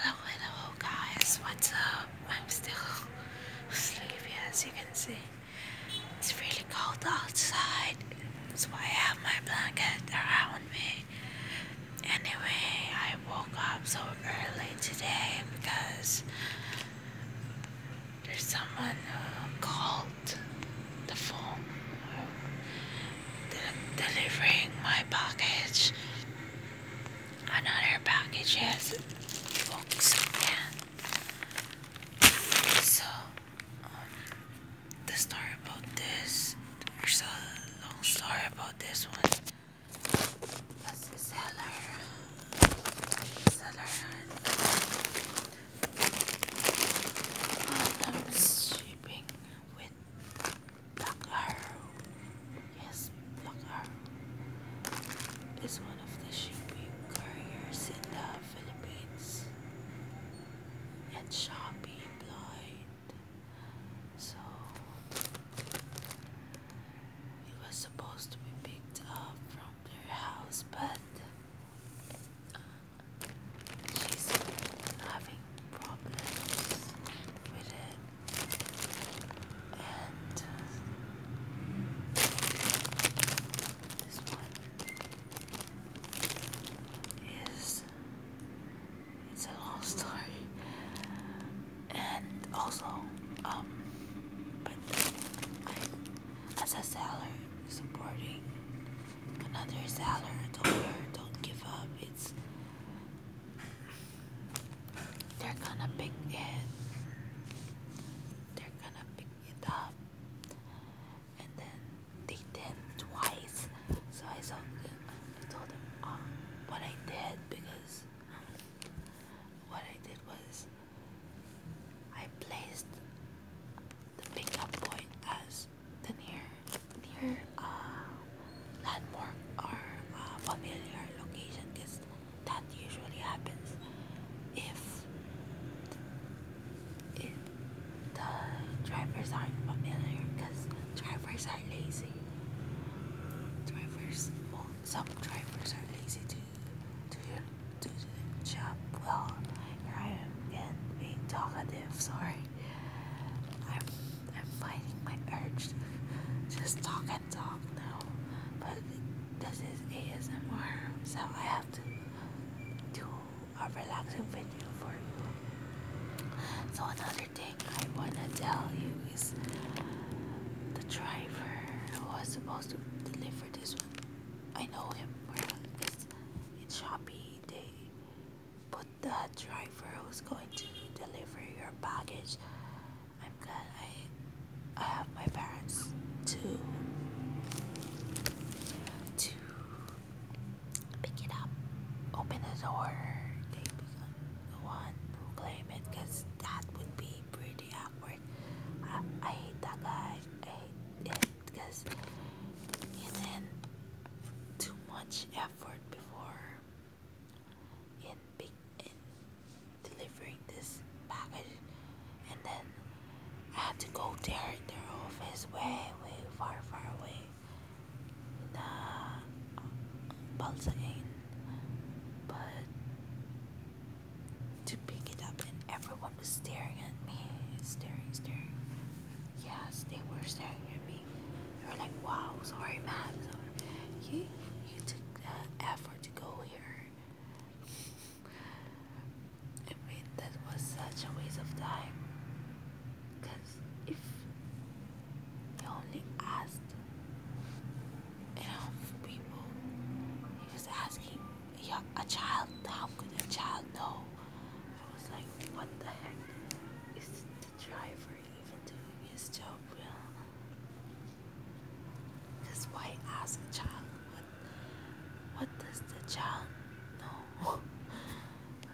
Hello, guys, what's up? I'm still sleepy as you can see. It's really cold outside, so I have my blanket around me. Anyway, I woke up so early today because there's someone who uh, called the phone uh, delivering my package Another package has books again. So, um, the story about this, there's a long story about this one. the seller. Seller. Um, shipping with Black Arrow. Yes, Black Arrow is one of the shipping carriers in the Philippines and Shopee blind. So it was supposed to be picked up from their house, but she's having problems with it. And um, this one is it's a long story. And also, um but as a seller supporting another is Aller. do don't give up. It's they're gonna pick it. They're gonna pick it up, and then they did twice. So I told them, I told them um, what I did because what I did was I placed the pickup point as the near, near uh, landmark or uh, familiar location because that usually happens if if the drivers aren't familiar because drivers are lazy. Drivers, some drivers are lazy to to do the job well. Here I am again being talkative. Sorry. I'm I'm fighting my urge to just talk and talk now. But this is ASMR, so I have to do a relaxing video for you. So another thing I wanna tell you is the driver who was supposed to deliver this one. I know him. It's in Shopee they put the driver who's going to deliver your baggage. I'm glad I I have my parents to to pick it up, open the door. the one who claim it, cause that would be pretty awkward. I, I hate that guy because it's in too much effort before in delivering this package and then I had to go there their office way way far far away in uh, but to pick it up, and everyone was staring at me. Staring, staring. Yes, they were staring at me. They were like, wow, sorry, ma'am. You, you took that effort to go here. that was such a waste of time. Because if he only asked enough people, he was asking a child, how could a child know? I was like, what the heck is the driver even doing his job Real? Because why ask a child, what, what does the child know?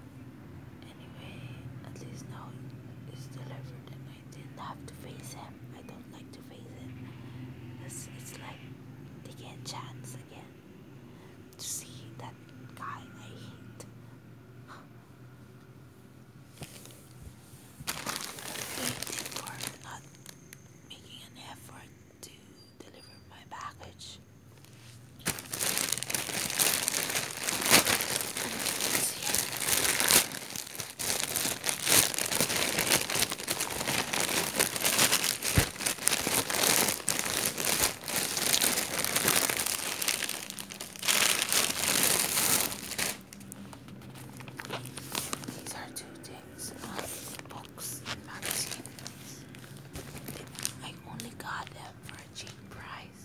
anyway, at least now it's delivered and I didn't have to face him. I don't like to to face it. It's, it's like taking a chance again to see that guy I hate. Waiting for not making an effort to deliver my package. These are two things, um, books and magazines. I only got them for a cheap price.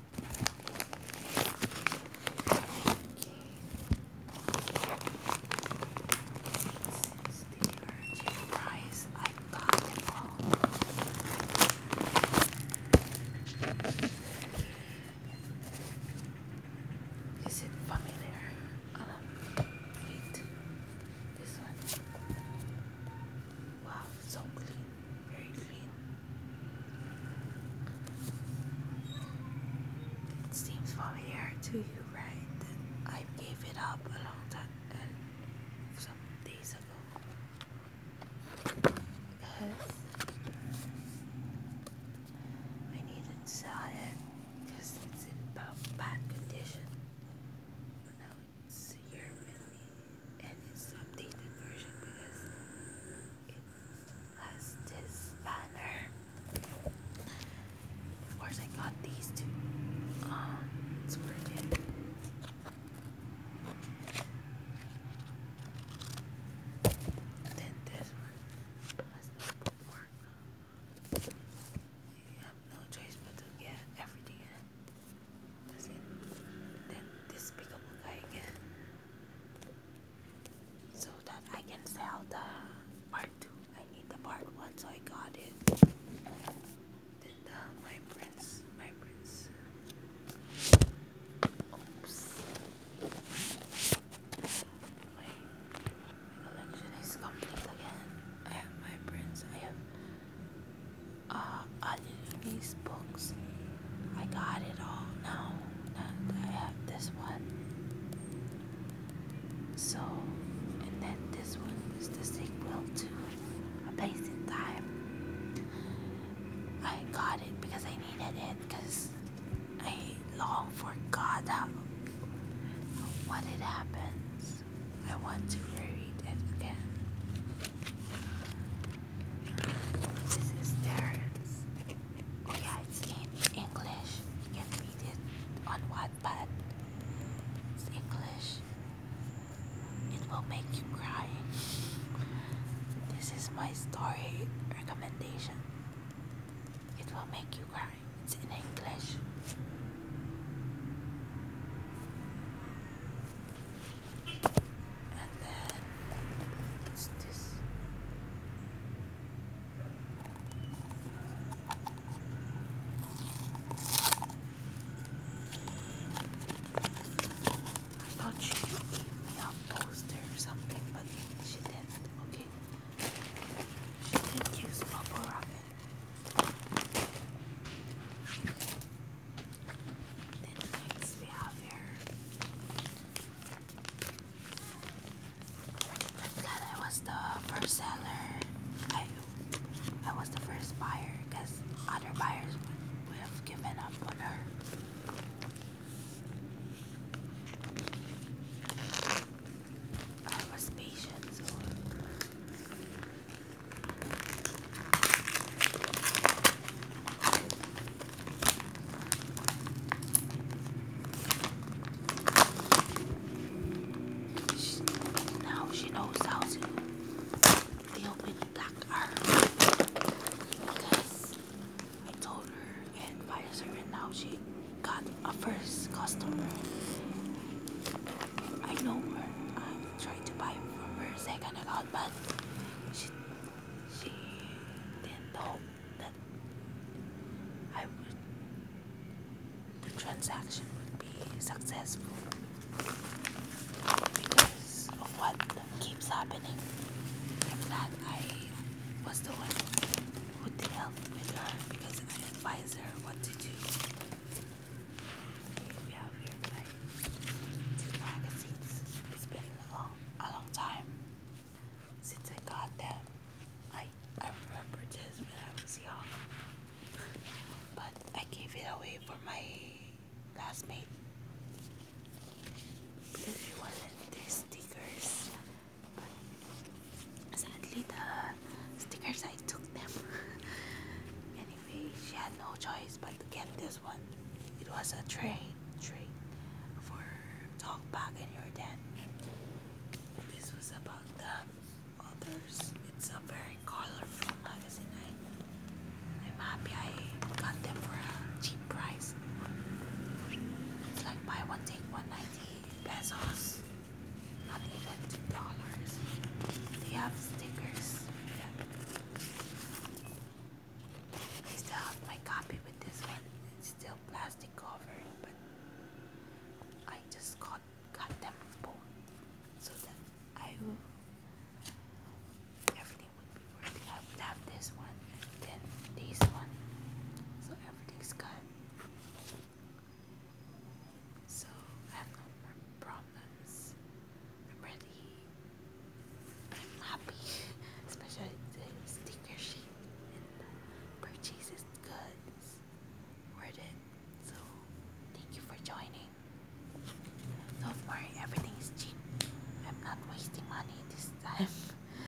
This is the urgent I got it all. Is it familiar? Um, wow, so clean. It seems familiar to you, right? I gave it up a long time and some days ago. I needed to sell it because it's in bad condition. now it's here with me and it's updated version because it has this banner. Of course, I got these two. Um, it's pretty. Then this one has no bookmark. You have no choice but to get everything that's it. Then this pickable guy again. So that I can sell the part 2. I need the part 1 so I got it. Then the, my prince. My prince. Oops. My, my collection is complete again. I have my prints. I have uh, these books. I got it all. No, not, I have this one. So, and then this one is the sequel to A Place in Time. I got it because I needed it because I long forgot how, what it happens. I want to read it again. This is Terrence. it's in English. You can read it on Wattpad. It's English. It will make you cry. This is my story recommendation. It will make you cry. It's in English. And then what's this? I thought she gave me a poster or something, but she didn't. Okay, she didn't use bubble wrap then next I was the first seller. I I was the first buyer because other buyers would, have given up on her. I was patient, now she knows how to deal with black Because I told her and advised her, and now she got a first customer. I know her. I tried to buy from second account, but she didn't know that I would the transaction would be successful because of what keeps happening. i I was the one who dealt with her because I advisor what to do. We have here two magazines. It's been a long, a long time since I got them. I I remember this when I was but I gave it away for my classmate because she these stickers sadly, the stickers I took them. anyway, she had no choice but to get this one. It was a train, train for talk back in your den. This was about the others. It's a very colorful magazine. I, I'm happy I got them for a cheap price. It's like buy one take one ninety pesos not even two dollars. They have stickers. still have my copy with this one. It's still plastic covered, but I just got got them both so that I everything would be working. I would have this one and then this one. So everything's so I have no problems. I'm ready. I'm happy, especially the sticker sheet and the purchases goods. Worth it. So thank you for joining. Don't worry, everything is cheap. I'm not wasting money this time.